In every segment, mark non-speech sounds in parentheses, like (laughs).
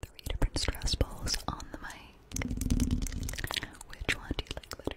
Three different stress balls on the mic. Which one do you like better?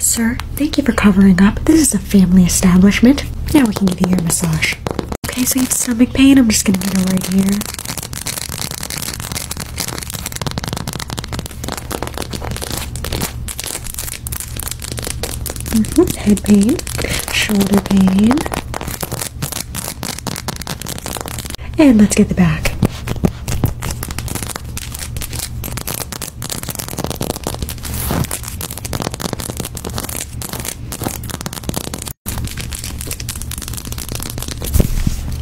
Sir, thank you for covering up. This is a family establishment. Now we can give you your massage. Okay, so you have stomach pain. I'm just gonna get it right here. Mm-hmm. Head pain, shoulder pain. And let's get the back.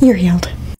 You're healed.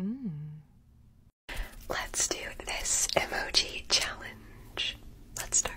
Mm. Let's do this emoji challenge. Let's start.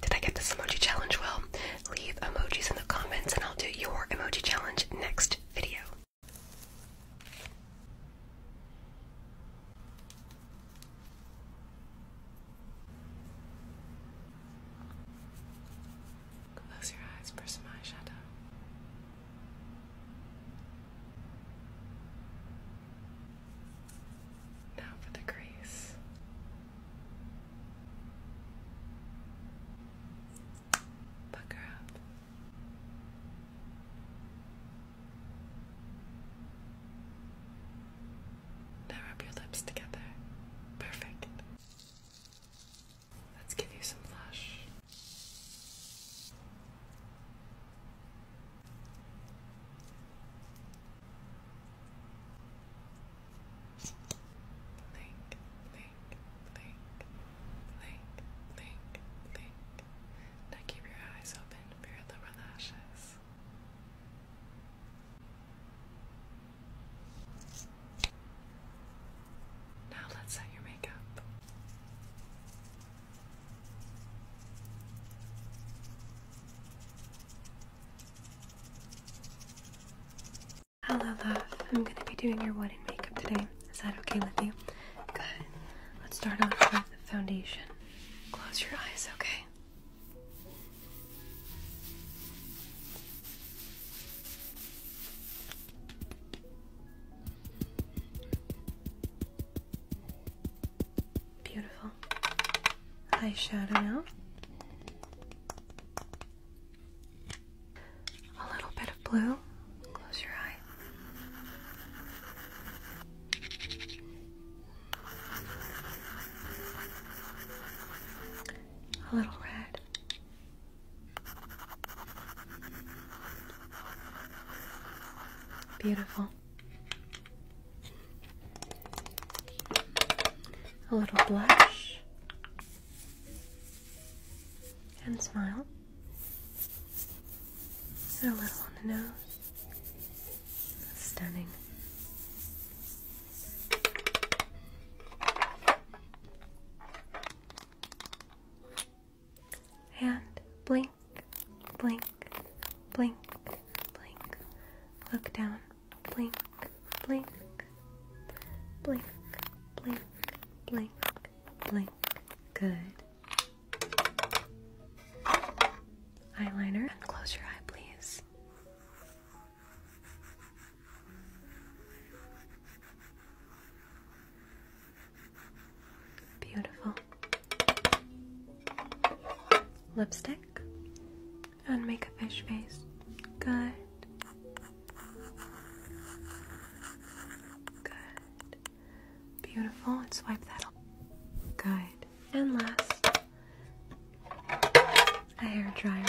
Did I get this emoji challenge well? Leave emojis in the comments and I'll do your emoji challenge next video. Close your eyes for some eyeshadow. Now for the crease. Pucker up. Now rub your lips together. Perfect. Let's give you some blush. Blink, blink, blink, blink, blink, blink. Now keep your eyes open for your lower lashes. Now let's set your makeup. Hello, love. I'm gonna be doing your wedding makeup today. Is that okay with you? Good. Let's start off with the foundation. Close your eyes, okay? Beautiful eyeshadow now. A little bit of blue. Close your eye. A little red. Beautiful. A little blush and smile. And a little on the nose. Stunning and blink, blink, blink, blink. Look down, blink, blink, blink, blink, blink, blink. Good. Eyeliner, and close your eye, please. Beautiful. Lipstick and make a fish face. Good. Good. Beautiful. And swipe that off. Good. And last, a hair dryer.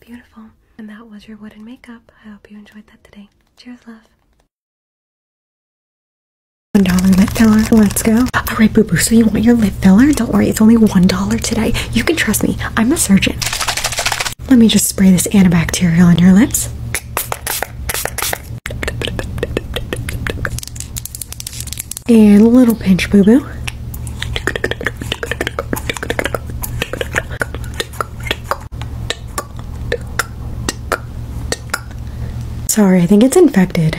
Beautiful. And that was your wooden makeup. I hope you enjoyed that today. Cheers, love. One dollar lip filler. Let's go. All right, boo boo. So you want your lip filler? Don't worry, it's only one dollar today. You can trust me. I'm a surgeon. Let me just spray this antibacterial on your lips. And a little pinch boo boo. Sorry, I think it's infected.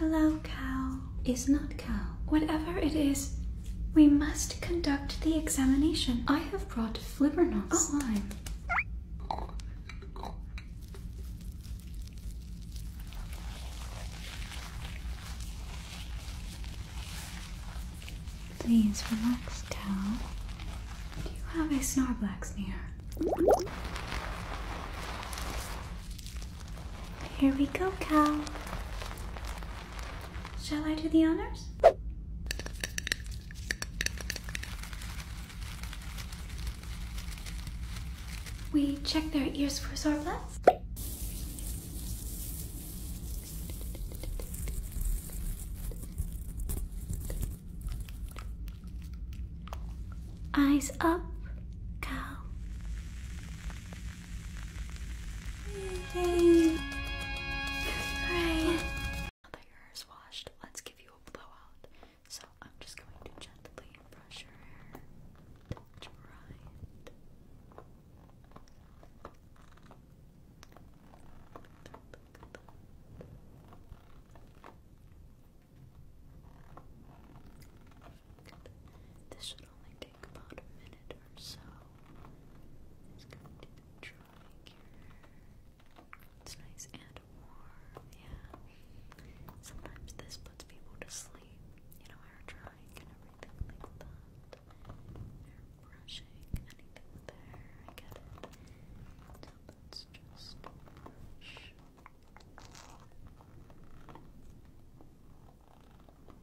Hello, cow is not cow. Whatever it is, we must conduct the examination. I have have brought Flipperknot oh. slime. Please relax, Cal. Do you have a Snorlax near? Here we go, Cal. Shall I do the honors? We check their ears for zorblats. Eyes up, cow. Yay. Alright. Now that your hair's washed, let's give you a blowout. So I'm just going to gently brush your hair to right. This should only take about a minute or so it's nice and warm, yeah. Sometimes this puts people to sleep, you know, hair drying and everything like that. Hair brushing, anything with I get it. So just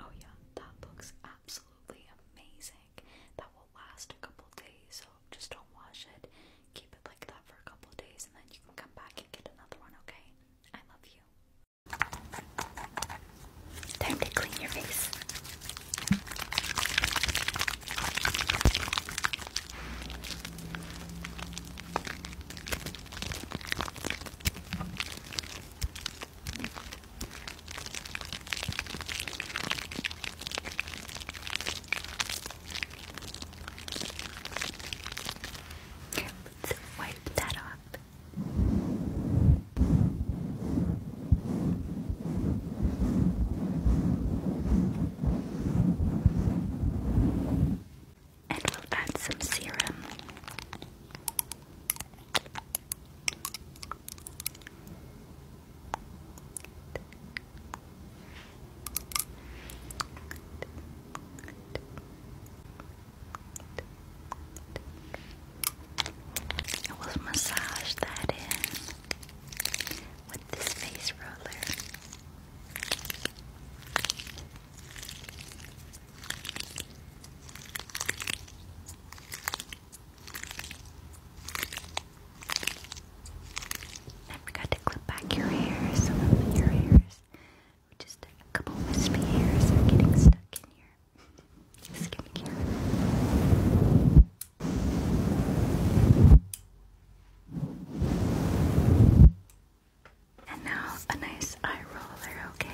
Oh yeah, that looks absolutely amazing. That will last a couple days, so just don't wash it. Keep it like that for a couple days and then you can come back and get another one, okay? I love you. Time to clean your face. Let's wipe that off and we'll add some serum. I will massage that in with this face roller. I forgot to clip back your hair, your hairs. Just a couple wispy hairs getting stuck in here. Skincare. And now a nice eye roller, okay?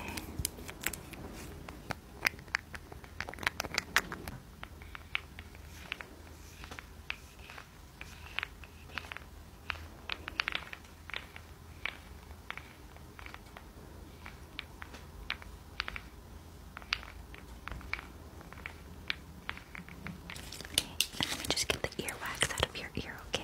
let me just get the earwax out of your ear, okay?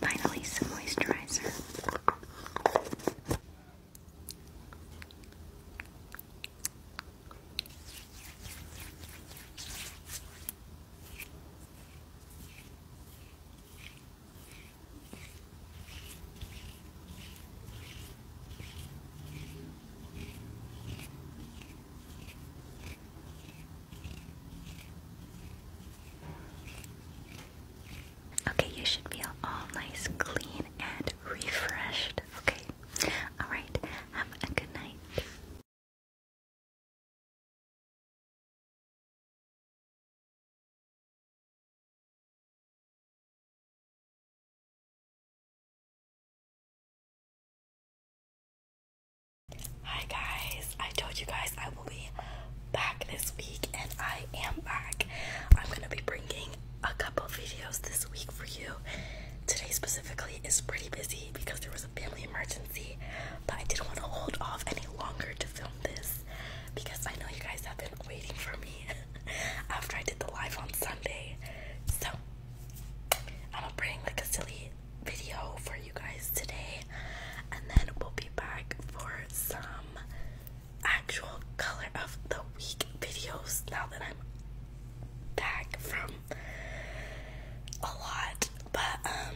Finally, some moisturizer. Okay, you should feel all nice, clean, and refreshed. Okay, all right, have a good night. Hi guys, I told you guys I will be back this week and I am back. I'm going to be bringing a couple videos this week for you. Today specifically is pretty busy because there was a family emergency, but I didn't want to hold off any longer to film this because I know you guys have been waiting for me. (laughs) (laughs) after I did the live on Sunday. So I'm going like a silly video for you guys today, and then we'll be back for some actual color of the week videos now that I'm back from a lot. But um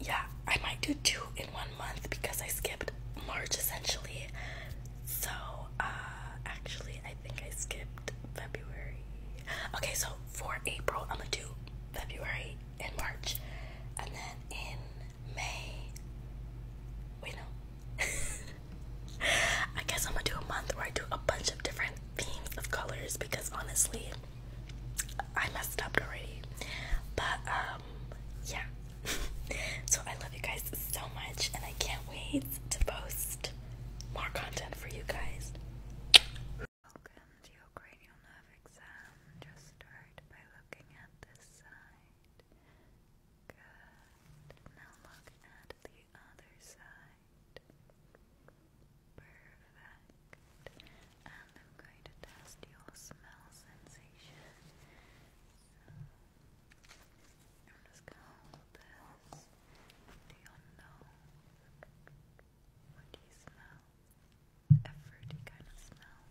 yeah, I might do two in one month because I skipped March essentially. So, uh, actually, I think I skipped February. Okay, so for April, I'm gonna do February and March, and then in May. Wait, no. (laughs) I guess I'm gonna do a month where I do a bunch of different themes of colors because honestly, I messed up already. But, um, yeah, so I love you guys so much, and I can't wait to post more content for you guys. Welcome to your cranial nerve exam. Just start by looking at this side. Good. Now look at the other side. Perfect. And I'm going to test your smell sensation. I'm this to your What do you smell? A fruity kind of smell.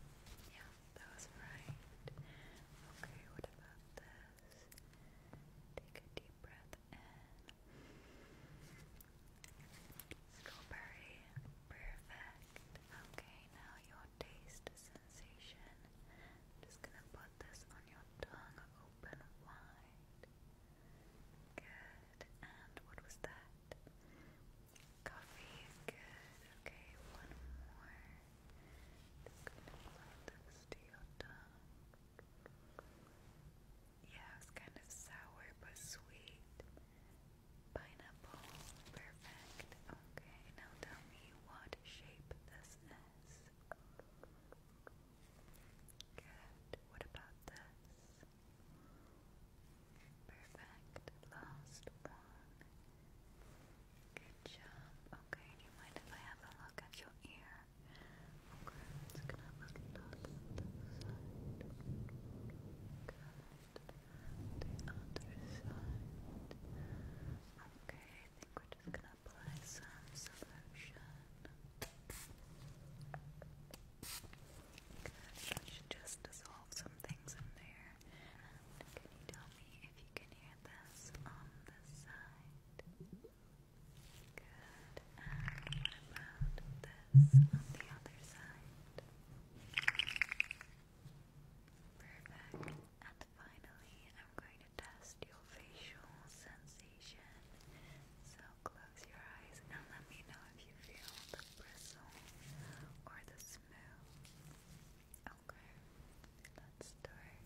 Yeah, that was right. Okay, what about this? Take a deep breath in. Strawberry. Perfect. Okay, now your taste is sensation. just gonna put this on your tongue, open wide. Good. And what was that? Coffee. Good. Okay, one more. Just gonna apply this to your tongue. Yeah, it's kind of sour but sweet. Pineapple. Perfect. Okay, now tell me what shape this restlessness. Good. What about this? Perfect. Last one. Good job. Okay, do you mind if I have a look at your ear? Okay, I'm have a look at the side. Good. The other Okay, think we're just gonna apply some solution. Good, should just dissolve some things in there. can you tell me if you can hear this on this side? Good. what about this on the other side? Perfect finally, I'm going to test your facial sensation. So close your eyes and let me know if you feel the bristle or the smooth. Okay, let's start.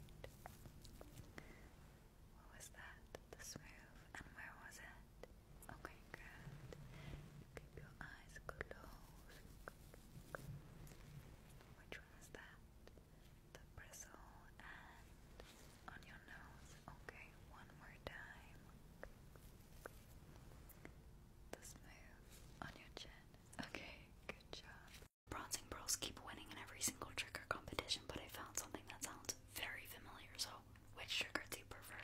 What was that? The smooth, and where was it? Okay, good. Keep your eyes closed. Which one is that? the bristle and on your nose. Okay, one more time. The smooth on your chin. Okay, good job. Bronzing pearls keep winning in every single trigger competition, but I found something that sounds very familiar. So, which trigger do you prefer?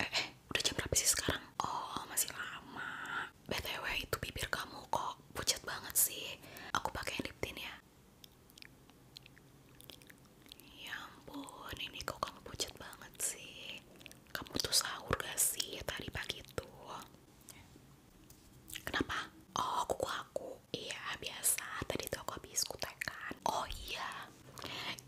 Eh, eh, udah jam berapa sih sekarang? Oh, masih lama. BTW itu bibir kamu kok pucat banget sih. Aku pakai lip tint ya. Ya ampun, ini kok kamu pucet banget sih. Kamu tuh sahur gak sih tadi pagi tuh? Kenapa? Oh, kuku aku. Iya, biasa. Tadi tuh aku habis kutekan. Oh iya,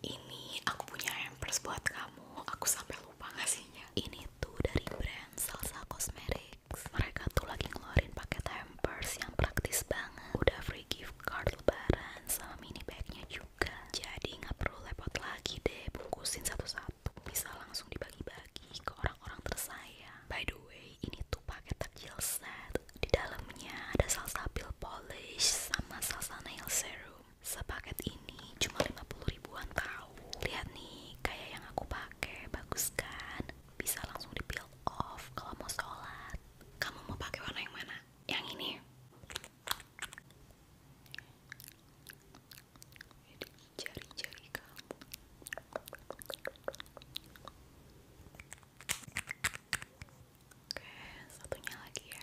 ini aku punya hampers buat kamu. Aku sampai lupa ngasihnya. Ini tuh dari brand Salsa Cosmetics. Mereka tuh lagi ngeluarin paket hampers yang praktis banget. Udah free gift card lebaran sama mini bagnya juga jadi nggak perlu repot lagi deh bungkusin satu-satu bisa langsung dibagi-bagi ke orang-orang tersayang by the way ini tuh paket takjil set di dalamnya ada salsa pil polish sama salsa nail serum sepaket ini cuma lima puluh ribuan tahu lihat nih kayak yang aku pakai bagus kan bisa langsung di peel off kalau mau sholat kamu mau pakai warna yang mana yang ini jari-jari kamu oke satunya lagi ya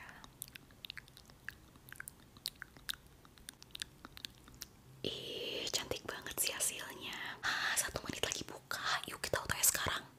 ih cantik banget sih hasilnya ah, satu menit lagi buka yuk kita UTS sekarang